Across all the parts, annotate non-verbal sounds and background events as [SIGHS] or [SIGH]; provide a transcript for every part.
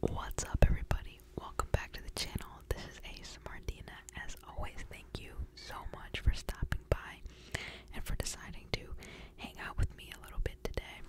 What's up, everybody? Welcome back to the channel. This is Ace Martina. As always, thank you so much for stopping by and for deciding to hang out with me a little bit today.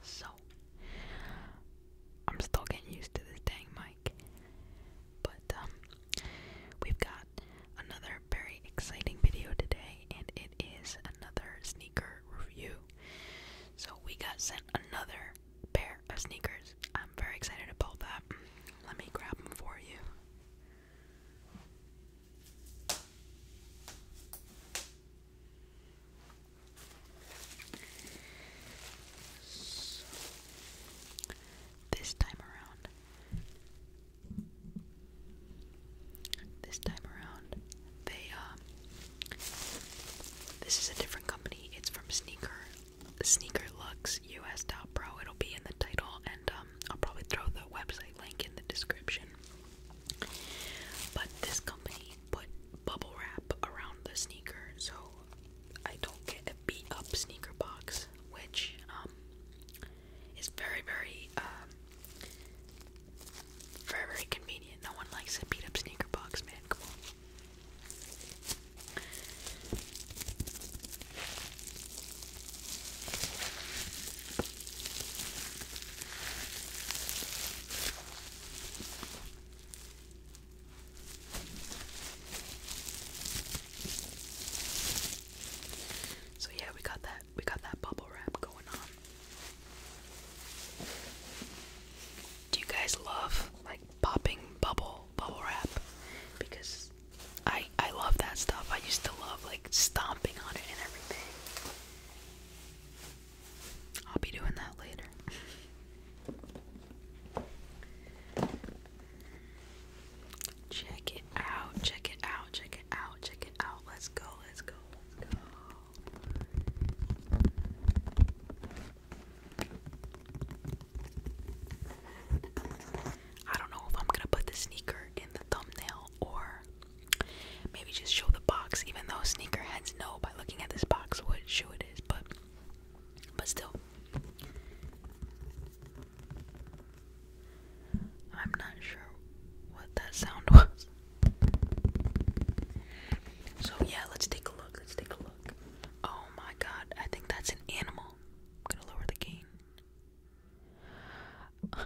So, I'm still getting used to this dang mic, but um, we've got another very exciting video today, and it is another sneaker review. So we got sent another pair of sneakers. I'm very excited about that. Let me grab them for you. this time around, this time around, they uh, this is a different company. It's from Sneaker Sneaker Lux US Top Pro. It'll be in the title, and um, I'll probably throw the website link in the description. But this company put bubble wrap around the sneaker, so I don't get a beat up sneaker box, which um, is very, very. Um, very, convenient. No one likes a beat up sneaker box, man. Come So yeah, we got that we got that bubble wrap going on. Do you guys love like popping bubble bubble wrap? Because I I love that stuff. I used to love like stomping on it and everything. I'll be doing that later. Check it out, check it out, check it out, check it out. Let's go, let's go, let's go. I don't know if I'm gonna put the sneaker in the thumbnail or maybe just show the box, even though sneaker heads know by looking at this box what shoe it is, but but still. I'm not sure what that sound [LAUGHS] was. So yeah, let's take a look. Let's take a look. Oh my god, I think that's an animal. I'm gonna lower the gain. [LAUGHS]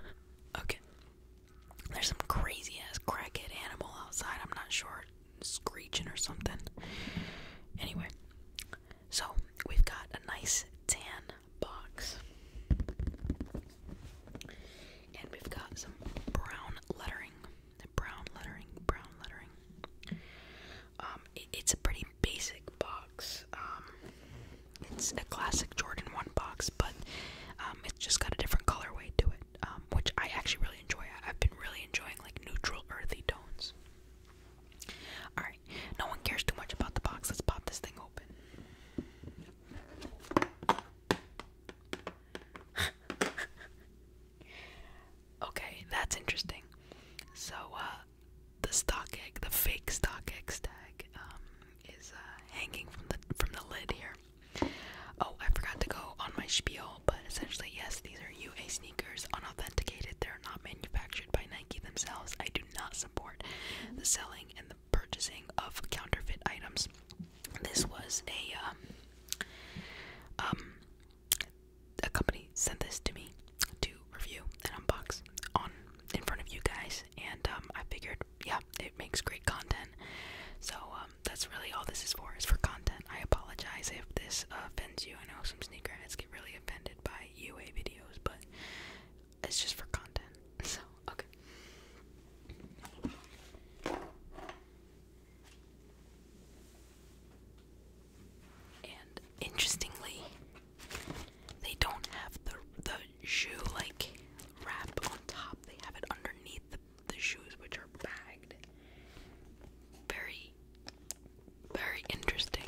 okay. There's some crazy ass crackhead animal outside. I'm not sure. Screeching or something. Anyway, so we've got a nice tan box. And we've got some brown lettering, brown lettering, brown lettering. Um, it's a pretty basic box. Um, it's a classic Jordan One box, but um, it's just got a different colorway to it, um, which I actually really enjoy. I, I've been really enjoying like neutral, earthy tones. All right, no one cares too much about the box. Let's pop this thing open. [LAUGHS] okay, that's interesting. So, uh, the stock egg, the fake stock egg tag, um, is uh, hanging from the from the lid here. Oh, I forgot to go on my spiel, but essentially, yes, these are UA sneakers, unauthenticated. They're not manufactured by Nike themselves. I do not support the selling and the purchasing of counterfeit items. This was a um, um a company sent this to me to review and unbox on in front of you guys, and um, I figured, yeah, it makes great content. So um, that's really all this is for is for content. I apologize if this offends you. I know some sneakerheads get really offended by UA videos, but it's just for content. [LAUGHS] So okay. And interestingly, they don't have the the shoe like wrap on top. They have it underneath the, the shoes, which are bagged. Very, very interesting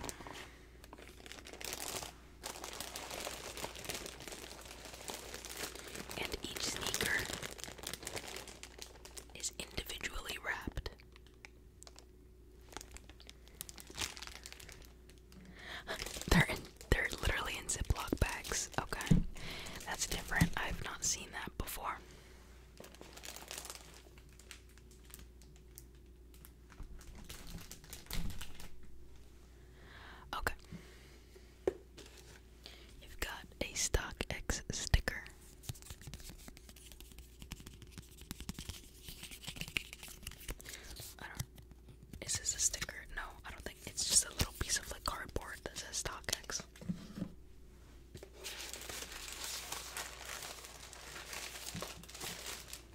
and each sneaker is individually wrapped. they're in, they're literally in Ziploc bags. Okay, that's different. I've not seen that before. Okay. You've got a StockX sticker. Is this a sticker? No, I don't think. It's just a little piece of like cardboard that says StockX.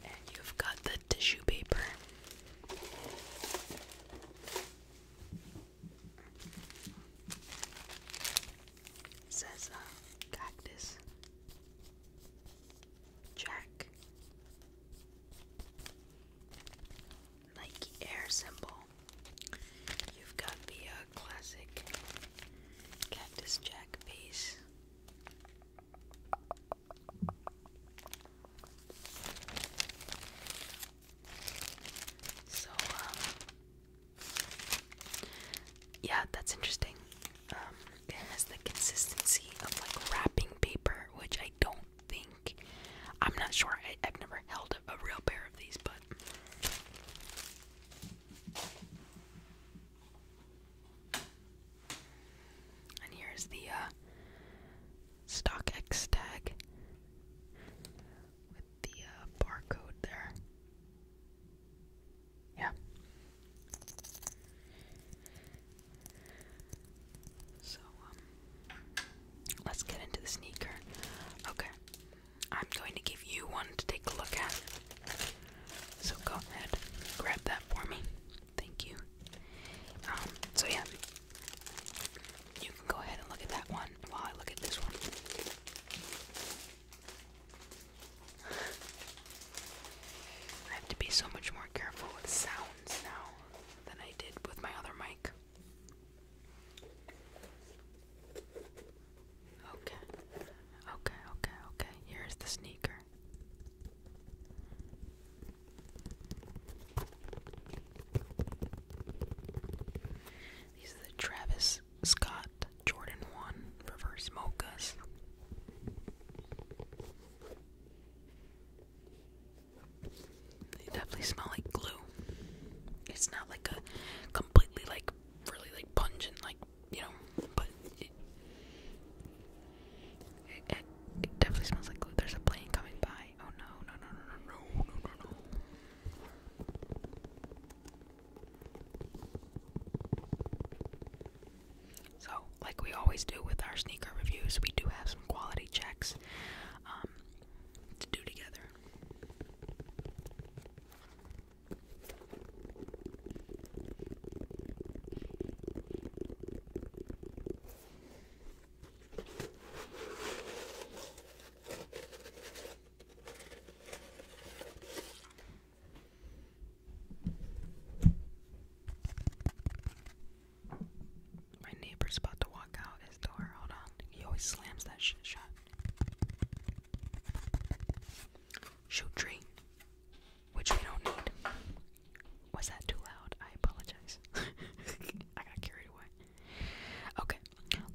And you've got the tissue paper. Says uh, cactus. Jack. Nike Air symbol. You've got the uh, classic Cactus Jack piece. So, um, yeah, that's interesting. Um, it has the consistency of like wrapping paper, which I don't think. I'm not sure. I, have never held a, real pair of these, but. And here's the uh, Stock X tag with the uh, barcode there. Yeah. So, um, let's get into the sneaker. Okay. I'm going to give you one to take a look at. So go ahead, grab that for me. Thank you. Um, so yeah you can go ahead and look at that one while I look at this one. I have to be so much more careful with sounds now than I did with my other mic. Okay, okay, okay, okay. Here's the sneaker. These are the Travis Scott Jordan 1 reverse mochas. They definitely smell like glue. It's not like a completely like really like pungent like you know, but it definitely smells like glue. There's a plane coming by. Oh no, no, no, no, no, no, no, So, like we always do with our sneaker reviews, we do have some quality checks um, to do together. My neighbor's about to walk out his door. Hold on. He always slams that shit shut. Shoot tree. Which we don't need. Was that too loud? I apologize. [LAUGHS] I got carried away. Okay,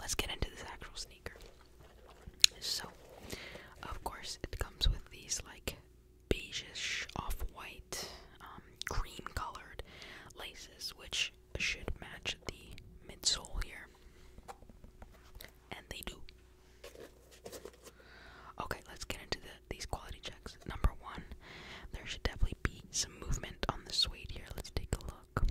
let's get into this actual sneaker. So, of course, it comes with these like beigeish, off-white, um, cream-colored laces, which should match the midsole here, and they do. Okay, let's get into these quality checks. Number one, there should definitely be some movement on the suede here. Let's take a look.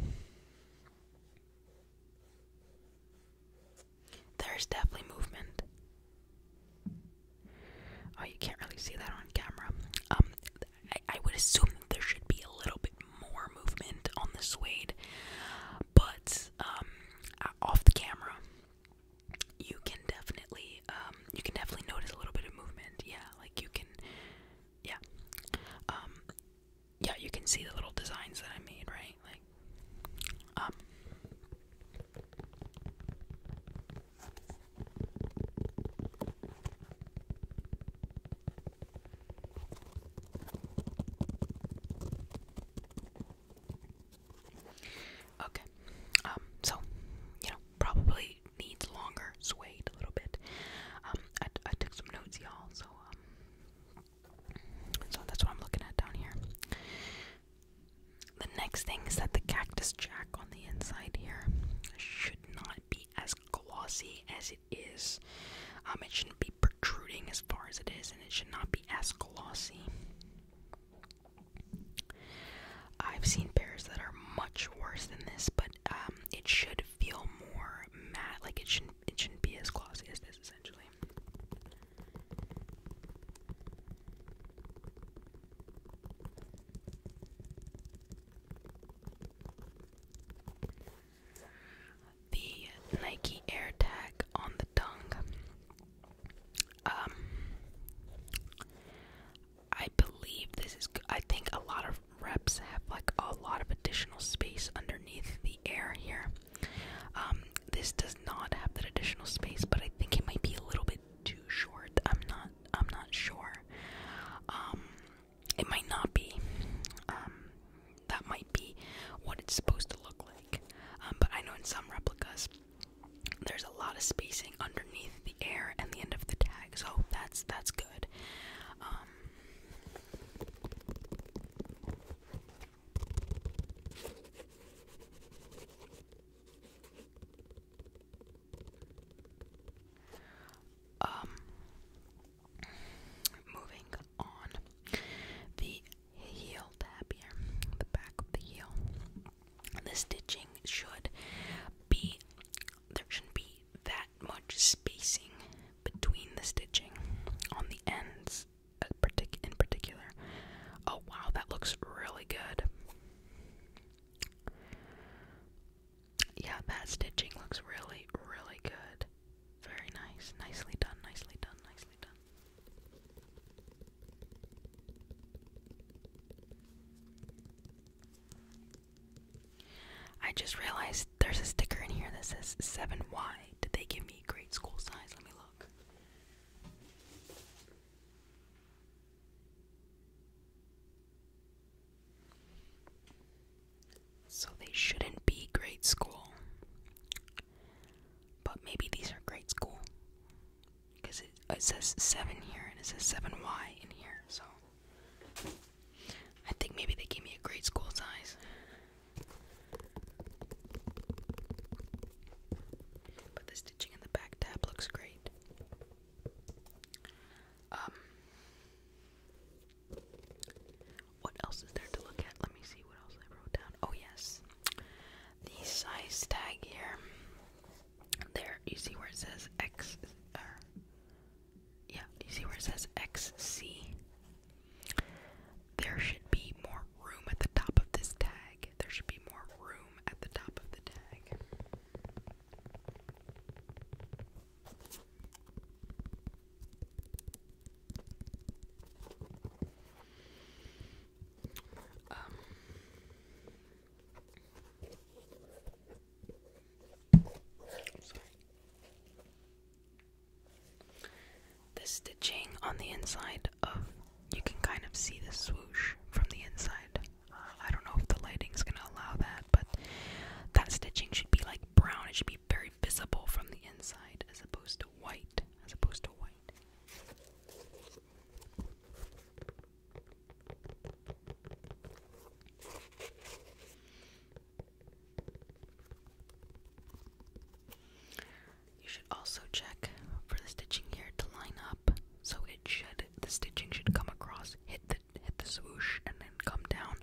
There's definitely movement. Oh, you can't really see that on camera. Um, I, would assume there should be a little bit more movement on the suede, but um, off the camera, you can definitely um, you can definitely notice a little bit of movement. Yeah, like you can yeah. Um, yeah, you can see the little designs that I made, right? Like, um, Okay. Um, so, you know, probably needs longer suede a little bit. Um, I, took some notes, y'all, so um, so that's what I'm looking at down here. The next thing is that the cactus jack on the inside here should not be as glossy as it is. Um, it shouldn't be protruding as far as it is, and it should not be as glossy. I've seen pairs that are much worse than this, but um, it should feel more matte. Like it shouldn't, it shouldn't be as glossy as this, essentially. The Nike Air Tag on the tongue. Um, I believe this is. I think a lot of reps have like a lot of additional space underneath the air here. Um, this does not have that additional space, but I think it might be a little bit too short. I'm not. I'm not sure. Um, it might not be. Um, that might be what it's supposed to look like. but I know in some replicas, there's a lot of spacing under underneath the air and the end of the tag. So that's that's good. Um, um moving on the heel tab here, the back of the heel. The stitching should be there shouldn't be that much spacing between the stitching on the ends uh, in particular. Oh wow, that looks really good. Yeah, that stitching looks really, really good. Very nice. Nicely done, nicely done, nicely done. I just realized there's a sticker in here that says 7Y. Did they give me grade school size? Let me look. So they shouldn't be grade school. But maybe these are grade school. Because it says 7 here and it says 7Y in here, so. I think maybe they gave me a great school size. But the stitching in the back tab looks great. Um what else is there to look at? Let me see what else I wrote down. Oh yes. The size tag here. There, you see where it says X. Uh, yeah, you see where it says XC? There should be more room at the top of this tag. There should be more room at the top of the tag. Um, the stitching on the inside of you can kind of see the swoosh from the inside. Uh, I don't know if the lighting is gonna allow that, but that stitching should be like brown. It should be very visible from the inside as opposed to white. As opposed to white. You should also check for the stitching here to line up, so it should the stitching should come across, hit the hit the swoosh, and then come down,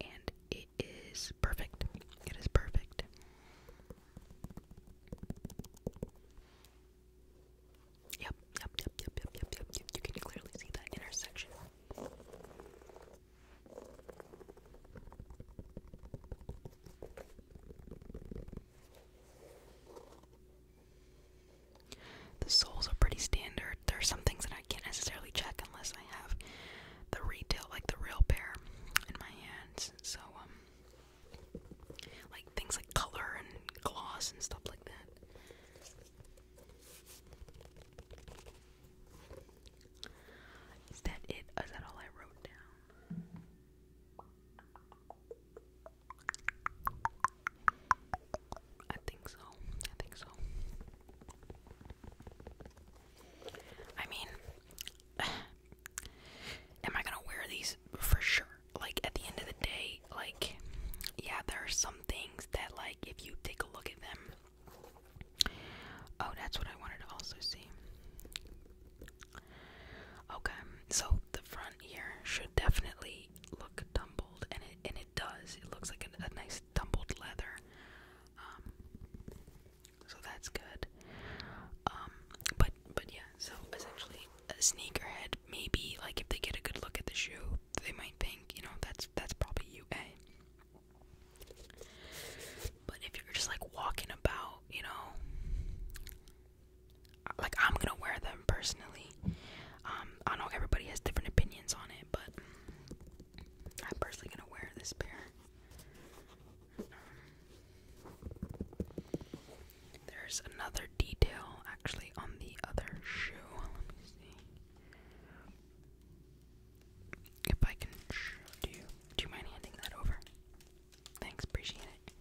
and it is perfect. It is perfect. Yep, yep, yep, yep, yep, yep, yep, yep. You can clearly see that intersection. The soles are pretty standard. There are some things that I can't necessarily check unless I have the retail, like the real pair, in my hands. So, um, like things like color and gloss and stuff like that. Is that it? Is that all I wrote down? I think so. I think so. I mean, [SIGHS] am I gonna wear these for sure? like at the end of the day, like yeah, there are some things that like if you take a look at them. Oh, that's what I wanted to also see. Okay, so the front here should definitely look tumbled, and it and it does. It looks like a, nice tumbled leather. Um, so that's good. Um, but but yeah, so essentially a sneakerhead, maybe like if they get a good look at the shoe, they might think, you know, that's that's probably UA. But if you're just like walking about, you know, like I'm gonna wear them personally. Um, I know everybody has different opinions on it, but I'm personally gonna wear this pair. There's another detail actually on the other shoe. If I can show you do you mind handing that over? Thanks, appreciate it.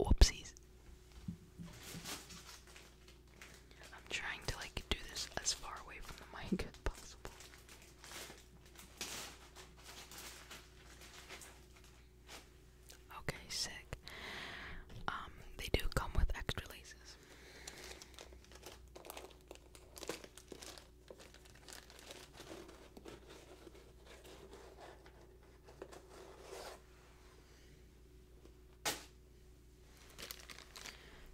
Whoopsies. I'm trying to like do this as far away from the mic as possible. Okay, sick. Um, they do come with extra laces.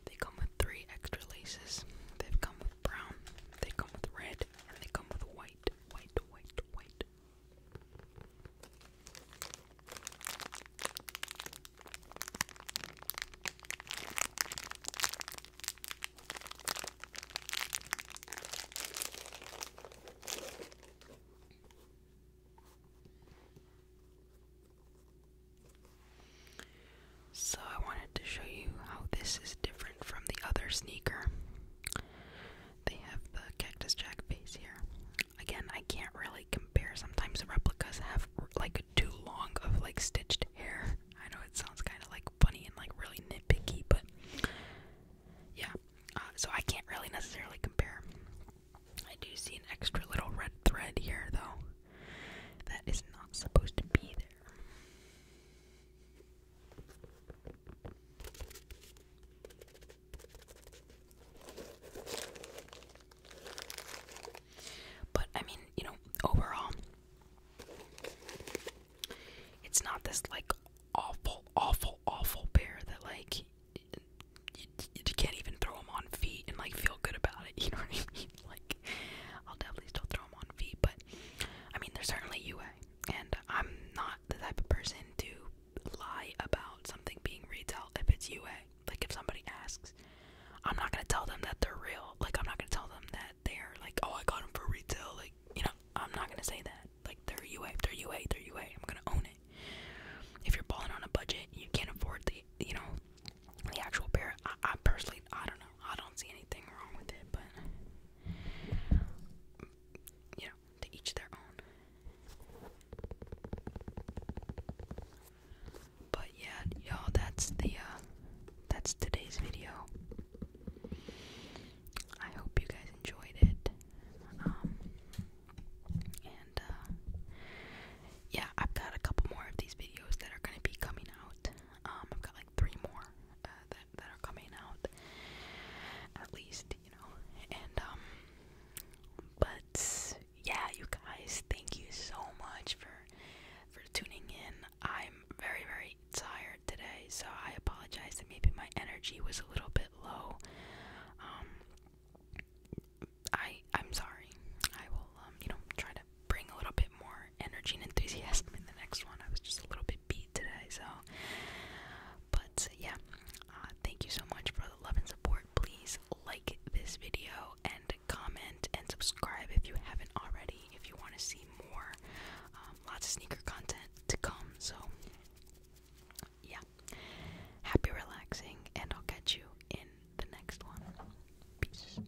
They come with three extra laces. They've come with brown, they come with red, and they come with white, white, white, white. So I wanted to show you how this is different from the other sneaker. They have the Cactus Jack face here. Again, I can't really compare. Sometimes replicas have like too long of like stitched hair. I know it sounds kind of like funny and like really nitpicky, but yeah. Uh, so I can't really necessarily compare. I do see an extra little red thread here though. That is not supposed to be there. But I mean, you know, overall, it's not this like awful, awful, awful bear that like you, you can't even throw him on feet and like feel good about it. [LAUGHS] You know what I mean? Like, I'll definitely still throw him on feet, but I mean, there's certainly UA, and I'm not the type of person to lie about something being retail if it's UA. Like, if somebody asks, I'm not gonna tell them that they're real. Like, I'm not gonna tell them that they're like, oh, I got them for retail. Like, you know, I'm not gonna say that. Like, they're UA, they're UA, they're UA. I'm gonna own it. If you're balling on a budget, you can't afford the, you know, the actual pair. I, I personally, I don't know. I don't see anything wrong with it, but you know, to each their own. But yeah, y'all, that's the uh, that's today's video. I hope you guys enjoyed it. Um, and uh, yeah, I've got a couple more of these videos that are gonna be coming out. Um, I've got like three more. Uh, that that are coming out, at least you know. And um, but yeah, you guys, thank you so much for for tuning in. I'm very very tired today, so I apologize that maybe my energy was a little bit low. Um, I I'm sorry. I will um you know try to bring a little bit more energy and enthusiasm in the next one. I was just a little bit beat today, so. But yeah, uh, thank you so much for the love and support. Please like this video and comment and subscribe if you haven't already. If you want to see more, um, lots of sneaker content to come. So yeah, happy relaxing, and I'll catch you in the next one. Peace.